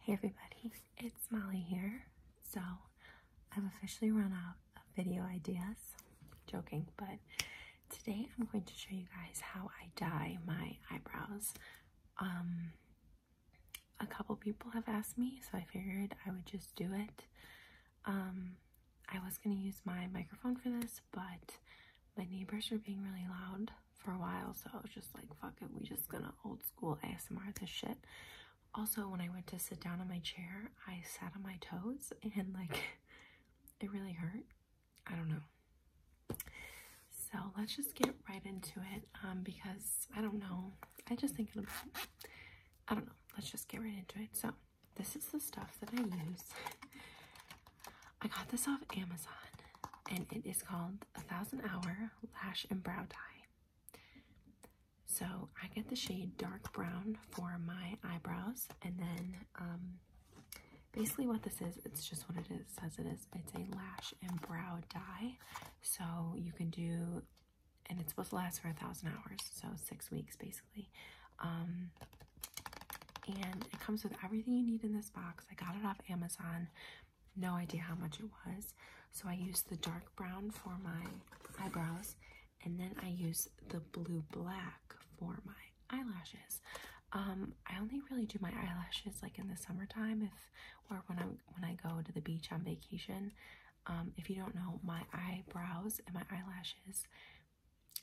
Hey everybody, it's Molly here. So, I've officially run out of video ideas. Joking, but today I'm going to show you guys how I dye my eyebrows. Um, a couple people have asked me, so I figured I would just do it. Um, I was going to use my microphone for this, but my neighbors were being really loud, for a while, so I was just like, fuck it, we just gonna old school ASMR this shit. Also, when I went to sit down on my chair, I sat on my toes and like it really hurt. I don't know. So let's just get right into it um, because I don't know. I just thinking about, I don't know. Let's just get right into it. So this is the stuff that I use. I got this off Amazon and it is called A Thousand Hour Lash and Brow Dye. So I get the shade Dark Brown for my eyebrows, and then um, basically what this is, it's just what it says it is. It's a lash and brow dye, so you can do, and it's supposed to last for a thousand hours, so six weeks basically. Um, and it comes with everything you need in this box. I got it off Amazon no idea how much it was. So I used the dark brown for my eyebrows and then I used the blue black for my eyelashes. Um, I only really do my eyelashes like in the summertime if or when I when I go to the beach on vacation. Um, if you don't know, my eyebrows and my eyelashes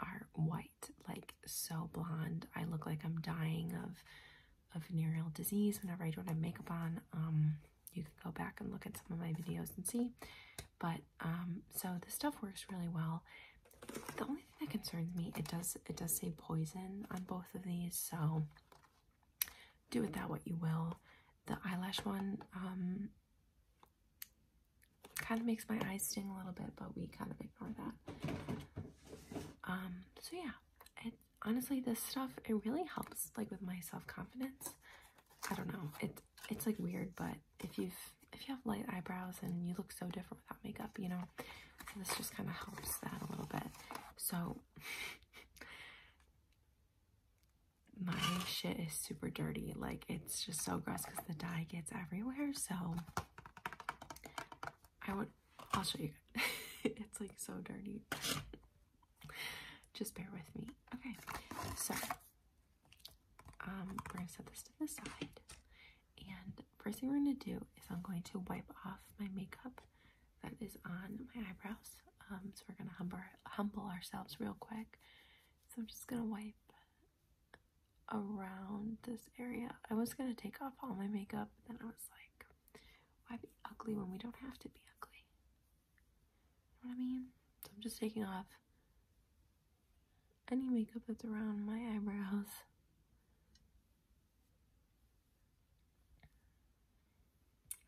are white, like so blonde. I look like I'm dying of of venereal disease whenever I don't have makeup on. Um, you can go back and look at some of my videos and see. But um, so this stuff works really well. The only thing that concerns me, it does it does say poison on both of these, so do with that what you will. The eyelash one um, kind of makes my eyes sting a little bit, but we kind of ignore that. Um, so yeah, it honestly, this stuff, it really helps like with my self-confidence. I don't know. It, it's like weird, but if you've, if you have light eyebrows and you look so different without makeup, you know, this just kind of helps that a little bit. So my shit is super dirty. Like it's just so gross because the dye gets everywhere. So I would I'll show you. it's like so dirty. Just bear with me. Okay, so um, we're gonna set this to the side. And first thing we're gonna do is I'm going to wipe off my makeup that is on my eyebrows. Um, so we're gonna humble, humble ourselves real quick. So I'm just gonna wipe around this area. I was gonna take off all my makeup, then I was like, why be ugly when we don't have to be ugly? You know what I mean? I'm just taking off any makeup that's around my eyebrows.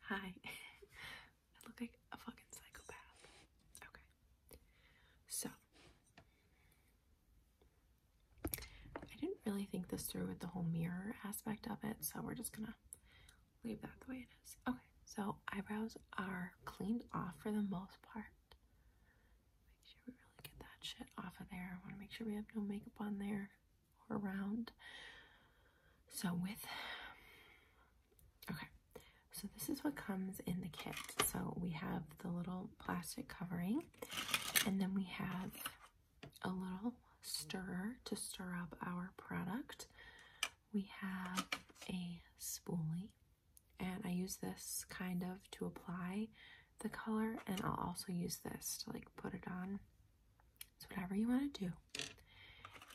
Hi. I look like a fucking psychopath. Okay. So I didn't really think this through with the whole mirror aspect of it, so we're just gonna leave that the way it is. Okay, so eyebrows are cleaned off for the most part. Make sure we really get that shit off of there. I wanna make sure we have no makeup on there or around. So with, okay, so this is what comes in the kit. So we have the little plastic covering and then we have a little stirrer to stir up our product. We have a spoolie and I use this kind of to apply the color and I'll also use this to like put it on. It's whatever you want to do.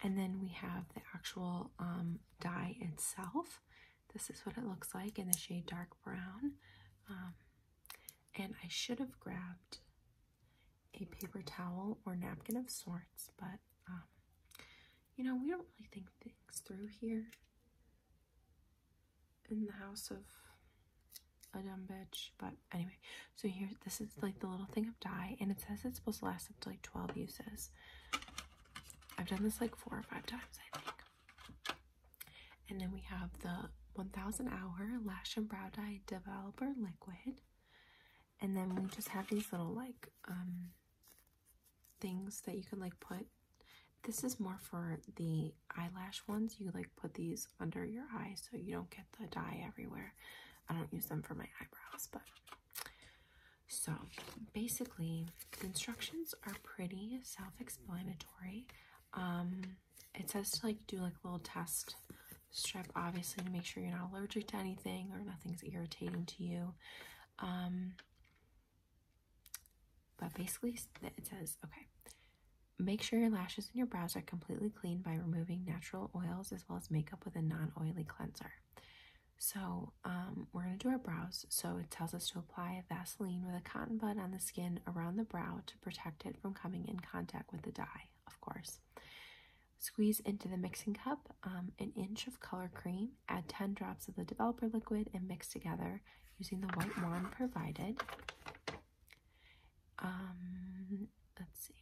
And then we have the actual um, dye itself. This is what it looks like in the shade dark brown. Um, and I should have grabbed a paper towel or napkin of sorts, but um, you know, we don't really think things through here in the house of a dumb bitch. But anyway, so here, this is like the little thing of dye, and it says it's supposed to last up to like 12 uses. I've done this like four or five times, I think. And then we have the 1000 Hour Lash and Brow Dye Developer Liquid. And then we just have these little like um, things that you can like put. This is more for the eyelash ones. You like put these under your eye so you don't get the dye everywhere. I don't use them for my eyebrows, but so basically the instructions are pretty self-explanatory. Um, it says to like do like a little test strip obviously to make sure you're not allergic to anything or nothing's irritating to you um but basically it says okay make sure your lashes and your brows are completely clean by removing natural oils as well as makeup with a non-oily cleanser so um, we're going to do our brows so it tells us to apply vaseline with a cotton bud on the skin around the brow to protect it from coming in contact with the dye, of course. Squeeze into the mixing cup um, an inch of color cream, add 10 drops of the developer liquid, and mix together using the white wand provided. Um, let's see.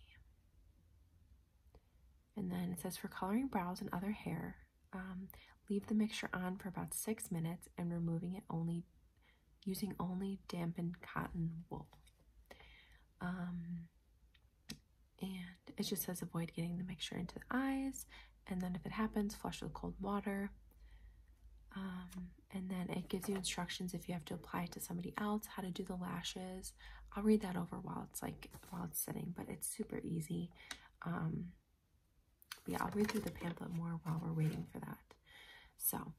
And then it says for coloring brows and other hair, um, leave the mixture on for about six minutes and removing it only using only dampened cotton wool. Um, and it just says avoid getting the mixture into the eyes. And then if it happens, flush with cold water. Um, and then it gives you instructions if you have to apply it to somebody else, how to do the lashes. I'll read that over while it's like while it's sitting, but it's super easy. Um, yeah, I'll read through the pamphlet more while we're waiting for that. So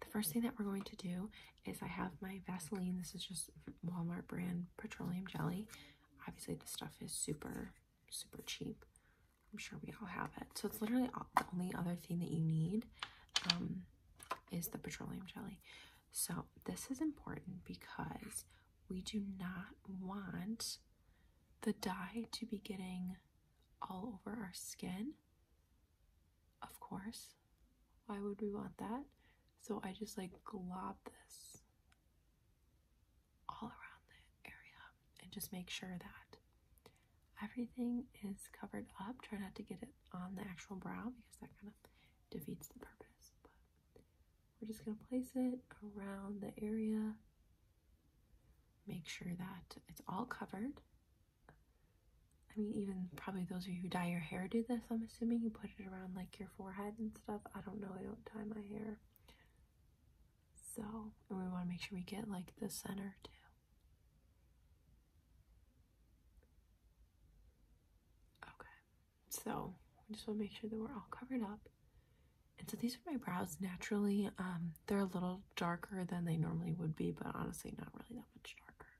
the first thing that we're going to do is I have my Vaseline. This is just Walmart brand petroleum jelly. Obviously, this stuff is super, super cheap. I'm sure we all have it. So it's literally all, the only other thing that you need um, is the petroleum jelly. So this is important because we do not want the dye to be getting all over our skin of course. Why would we want that? So I just like glob this all around the area and just make sure that everything is covered up. Try not to get it on the actual brow because that kind of defeats the purpose. But we're just going to place it around the area. Make sure that it's all covered I mean, even probably those of you who dye your hair do this, I'm assuming you put it around like your forehead and stuff. I don't know, I don't dye my hair. So, we want to make sure we get like the center too. Okay, so we just want to make sure that we're all covered up. And so these are my brows naturally. Um, they're a little darker than they normally would be, but honestly, not really that much darker.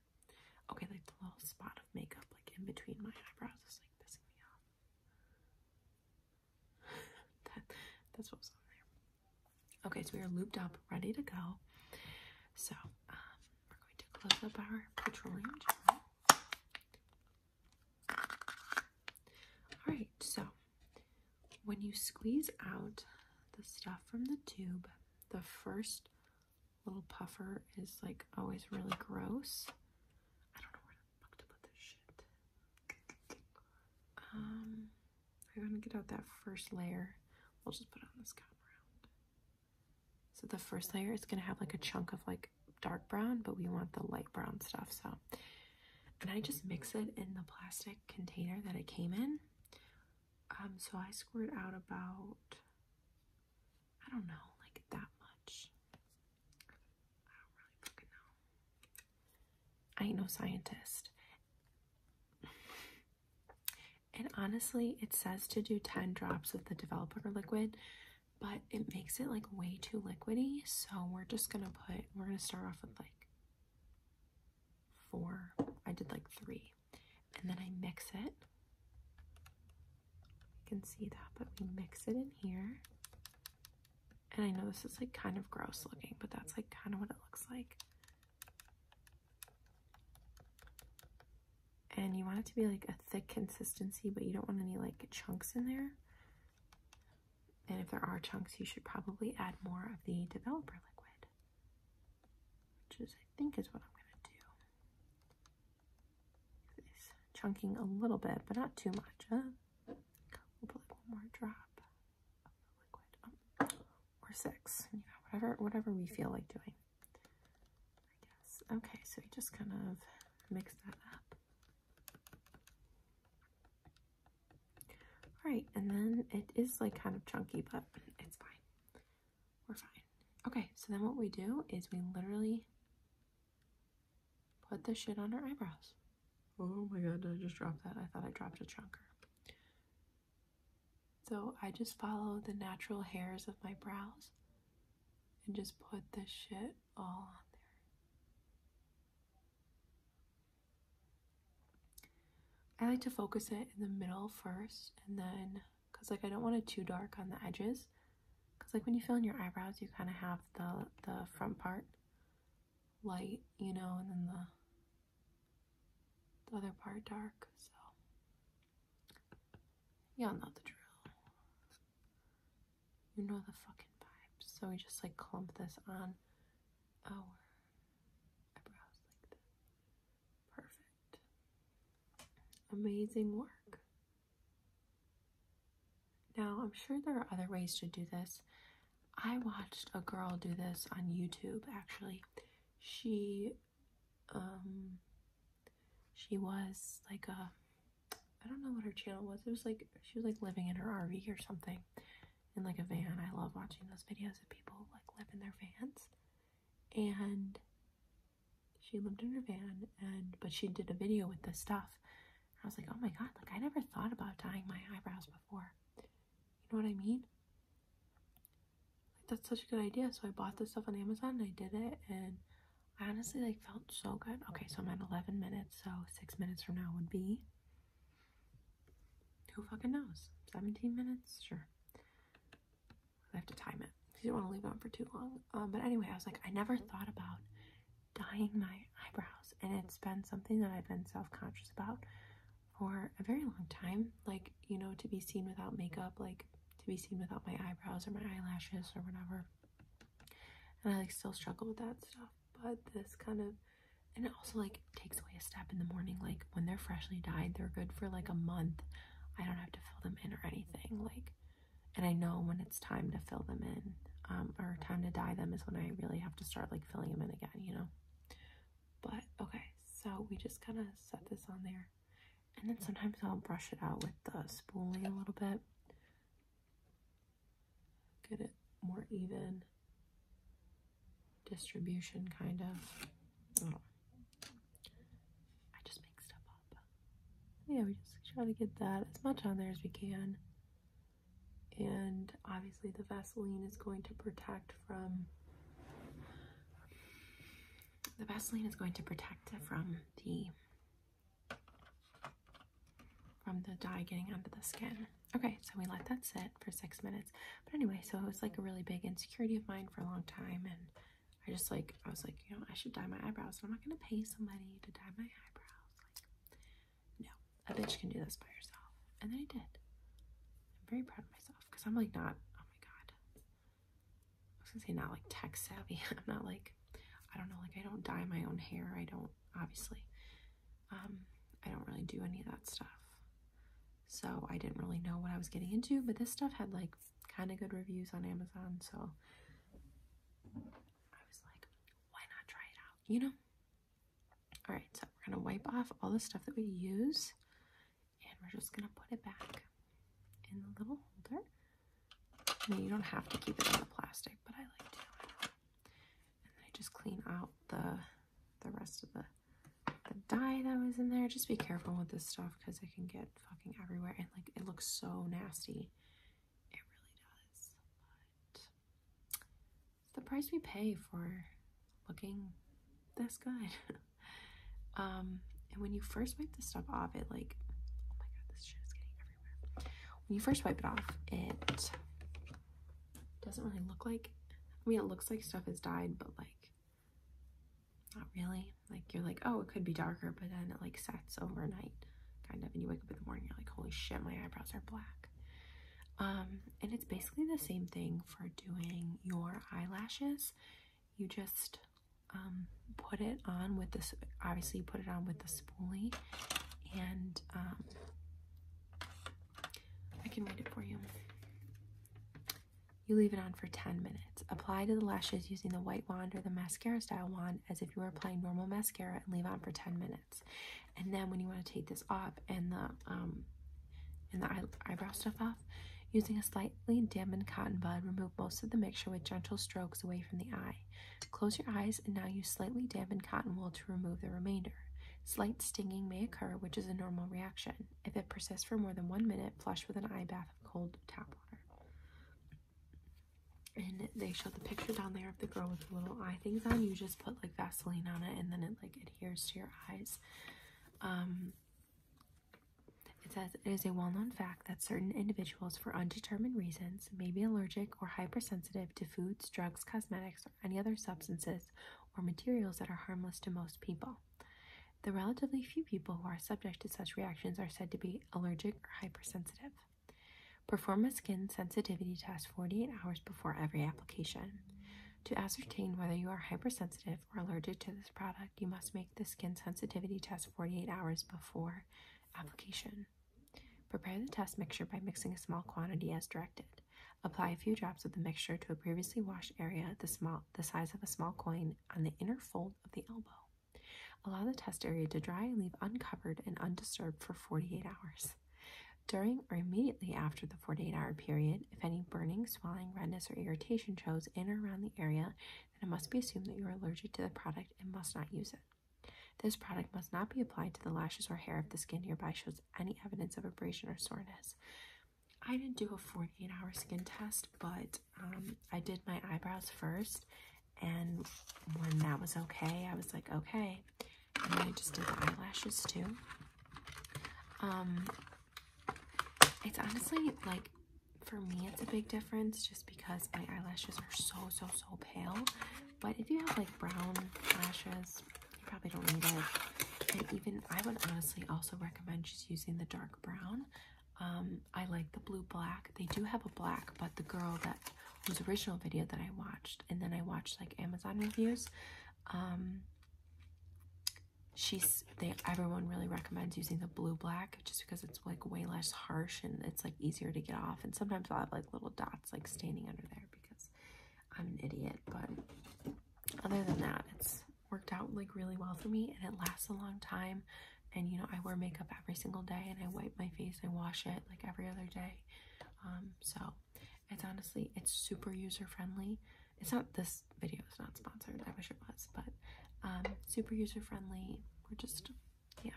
Okay, like the little spot of makeup, like in between my eyebrows, is like pissing me off. that's what on there. Okay, so we are looped up, ready to go. So, um, we're going to close up our petroleum gel. Alright, so when you squeeze out the stuff from the tube, the first little puffer is like always really gross. I don't know where the fuck to put this shit. Um, I want to get out that first layer. We'll just put it on this cotton So the first layer is going to have like a chunk of like dark brown, but we want the light brown stuff. So, and I just mix it in the plastic container that it came in. Um, so I squirt out about, I don't know, like that much. I ain't no scientist. and honestly, it says to do 10 drops of the developer liquid, but it makes it like way too liquidy. So we're just gonna put, we're gonna start off with like four. I did like three. And then I mix it. You can see that, but we mix it in here. And I know this is like kind of gross looking, but that's like kind of what it looks like. And you want it to be like a thick consistency, but you don't want any like chunks in there. And if there are chunks, you should probably add more of the developer liquid which is I think is what I'm going to do. It's chunking a little bit, but not too much. We'll put like one more drop of liquid, um, or six, you know, whatever whatever we feel like doing. I guess. Okay, so we just kind of mix that up. All right, and then it is like kind of chunky, but it's fine. We're fine. Okay, so then what we do is we literally put the shit on our eyebrows. Oh my god, I just dropped that? I thought I dropped a chunker. So I just follow the natural hairs of my brows and just put this shit all on there. I like to focus it in the middle first and then because like I don't want it too dark on the edges because like when you fill in your eyebrows you kind of have the the front part light you know and then the, the other part dark so y'all know the drill you know the fucking vibes so we just like clump this on our eyebrows like this Perfect. Amazing work. Now, I'm sure there are other ways to do this. I watched a girl do this on YouTube actually. She um she was like a I don't know what her channel was. It was like she was like living in her RV or something in like a van. I love watching those videos of people like live in their vans. And she lived in her van and but she did a video with this stuff. I was like, "Oh my god, like I never thought about dyeing my eyebrows before." You know what I mean? Like that's such a good idea. So I bought this stuff on Amazon and I did it and I honestly like felt so good. Okay, so I'm at 11 minutes, so 6 minutes from now would be who fucking knows? 17 minutes? Sure. I have to time it. You don't want to leave it on for too long. Um, but anyway, I was like, I never thought about dyeing my eyebrows. And it's been something that I've been self conscious about for a very long time. Like, you know, to be seen without makeup, like to be seen without my eyebrows or my eyelashes or whatever. And I like still struggle with that stuff. But this kind of and it also like takes away a step in the morning like when they're freshly dyed they're good for like a month i don't have to fill them in or anything like and i know when it's time to fill them in um, or time to dye them is when i really have to start like filling them in again you know but okay so we just kind of set this on there and then sometimes i'll brush it out with the spoolie a little bit get it more even distribution, kind of. I just make stuff up. Yeah, we just try to get that as much on there as we can. And obviously, the Vaseline is going to protect from. The Vaseline is going to protect from the from the dye getting under the skin. Okay, so we let that sit for six minutes. But anyway, so it was like a really big insecurity of mine for a long time. And I just like, I was like, you know, I should dye my eyebrows. And I'm not going to pay somebody to dye my eyebrows. Like, no, a bitch can do this by herself. And then I did. I'm very proud of myself because I'm like not, oh my God. I was going to say not like tech savvy. I'm not like, I don't know, like I don't dye my own hair. I don't, obviously. Um, I don't really do any of that stuff. So I didn't really know what I was getting into, but this stuff had like kind of good reviews on Amazon, so I was like, why not try it out, you know? All right, so we're gonna wipe off all the stuff that we use and we're just gonna put it back in the little holder. Now you don't have to keep it in the plastic, but I like to. And I just clean out the the rest of the the dye that was in there. Just be careful with this stuff because it can get fucking everywhere and like it looks so nasty. It really does. it's the price we pay for looking this good. um, and when you first wipe this stuff off, it like oh my god, this shit is getting everywhere. When you first wipe it off, it doesn't really look like I mean it looks like stuff has died, but like not really. Like you're like, oh, it could be darker, but then it like sets overnight, kind of, and you wake up in the morning, you're like, holy shit, my eyebrows are black. Um, and it's basically the same thing for doing your eyelashes. You just um, put it on with this, obviously you put it on with the spoolie and um, I can read it for you. You leave it on for 10 minutes. Apply to the lashes using the white wand or the mascara style wand as if you were applying normal mascara and leave on for 10 minutes. And then when you want to take this off and the um, and the eyebrow stuff off, using a slightly dampened cotton bud, remove most of the mixture with gentle strokes away from the eye. Close your eyes and now use slightly dampened cotton wool to remove the remainder. Slight stinging may occur, which is a normal reaction. If it persists for more than one minute, flush with an eye bath of cold tap water. And they showed the picture down there of the girl with the little eye things on. You just put like Vaseline on it and then it like adheres to your eyes. Um, it says it is a well-known fact that certain individuals for undetermined reasons may be allergic or hypersensitive to foods, drugs, cosmetics, any other substances or materials that are harmless to most people. The relatively few people who are subject to such reactions are said to be allergic or hypersensitive. Perform a skin sensitivity test 48 hours before every application. To ascertain whether you are hypersensitive or allergic to this product, you must make the skin sensitivity test 48 hours before application. Prepare the test mixture by mixing a small quantity as directed. Apply a few drops of the mixture to a previously washed area the, small, the size of a small coin on the inner fold of the elbow. Allow the test area to dry and leave uncovered and undisturbed for 48 hours. During or immediately after the 48 hour period, if any burning, swelling, redness, or irritation shows in or around the area, then it must be assumed that you are allergic to the product and must not use it. This product must not be applied to the lashes or hair if the skin nearby shows any evidence of abrasion or soreness. I didn't do a 48 hour skin test, but um, I did my eyebrows first. And when that was okay, I was like, okay. And I just did the eyelashes too. Um, it's honestly like for me, it's a big difference just because my eyelashes are so, so, so pale. But if you have like brown lashes, you probably don't need it. And even I would honestly also recommend just using the dark brown. Um, I like the blue black. They do have a black, but the girl that whose original video that I watched, and then I watched like Amazon reviews. Um, she's they everyone really recommends using the blue black just because it's like way less harsh and it's like easier to get off. And sometimes I'll have like little dots like staining under there because I'm an idiot. But other than that, it's worked out like really well for me and it lasts a long time and you know I wear makeup every single day and I wipe my face I wash it like every other day um, so it's honestly it's super user friendly it's not this video is not sponsored I wish it was but um, super user friendly we're just yeah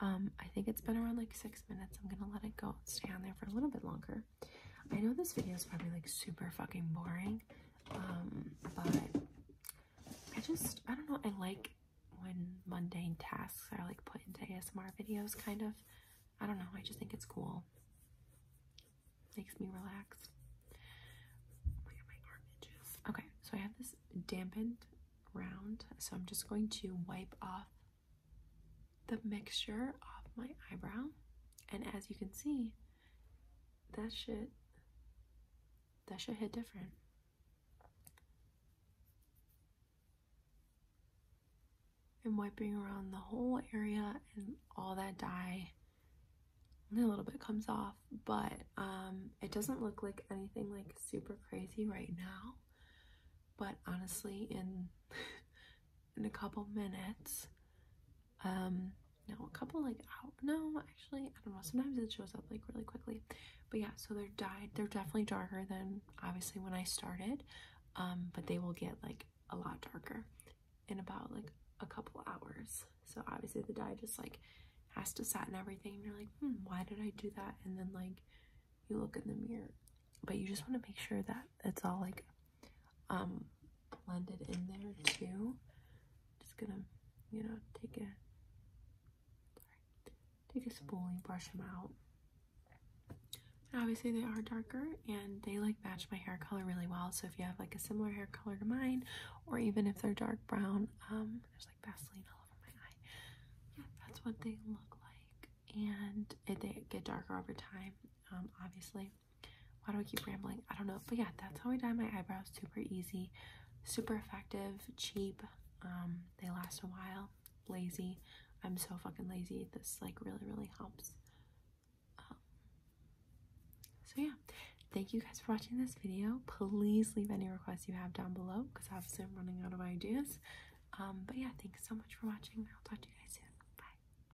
um, I think it's been around like six minutes I'm gonna let it go stay on there for a little bit longer I know this video is probably like super fucking boring, um, but I just, I don't know, I like when mundane tasks are like put into ASMR videos, kind of. I don't know, I just think it's cool. Makes me relax. Okay, so I have this dampened round, so I'm just going to wipe off the mixture off my eyebrow. And as you can see, that should that shit hit different. And wiping around the whole area and all that dye, a little bit comes off, but um, it doesn't look like anything like super crazy right now. But honestly, in in a couple minutes. Um, no, a couple like out. No, actually, I don't know. Sometimes it shows up like really quickly. But yeah, so they're dyed. They're definitely darker than obviously when I started. Um, but they will get like a lot darker in about like a couple hours. So obviously the dye just like has to set and everything. you're like, hmm, why did I do that? And then like you look in the mirror, but you just want to make sure that it's all like um, blended in there too. Just gonna, you know, take a sorry, take a spoolie, brush them out. obviously, they are darker and they like match my hair color really well. So if you have like a similar hair color to mine, or even if they're dark brown, um, there's like Vaseline all over my eye. Yeah, that's what they look like, and it, they get darker over time, um, obviously. Why do I keep rambling? I don't know. But yeah, that's how I dye my eyebrows. Super easy, super effective, cheap. Um, they last a while. Lazy. I'm so fucking lazy. This like really, really helps. Um, so yeah, thank you guys for watching this video. Please leave any requests you have down below because obviously I'm running out of ideas. Um, but yeah, thanks so much for watching. I'll talk to you guys soon. Bye.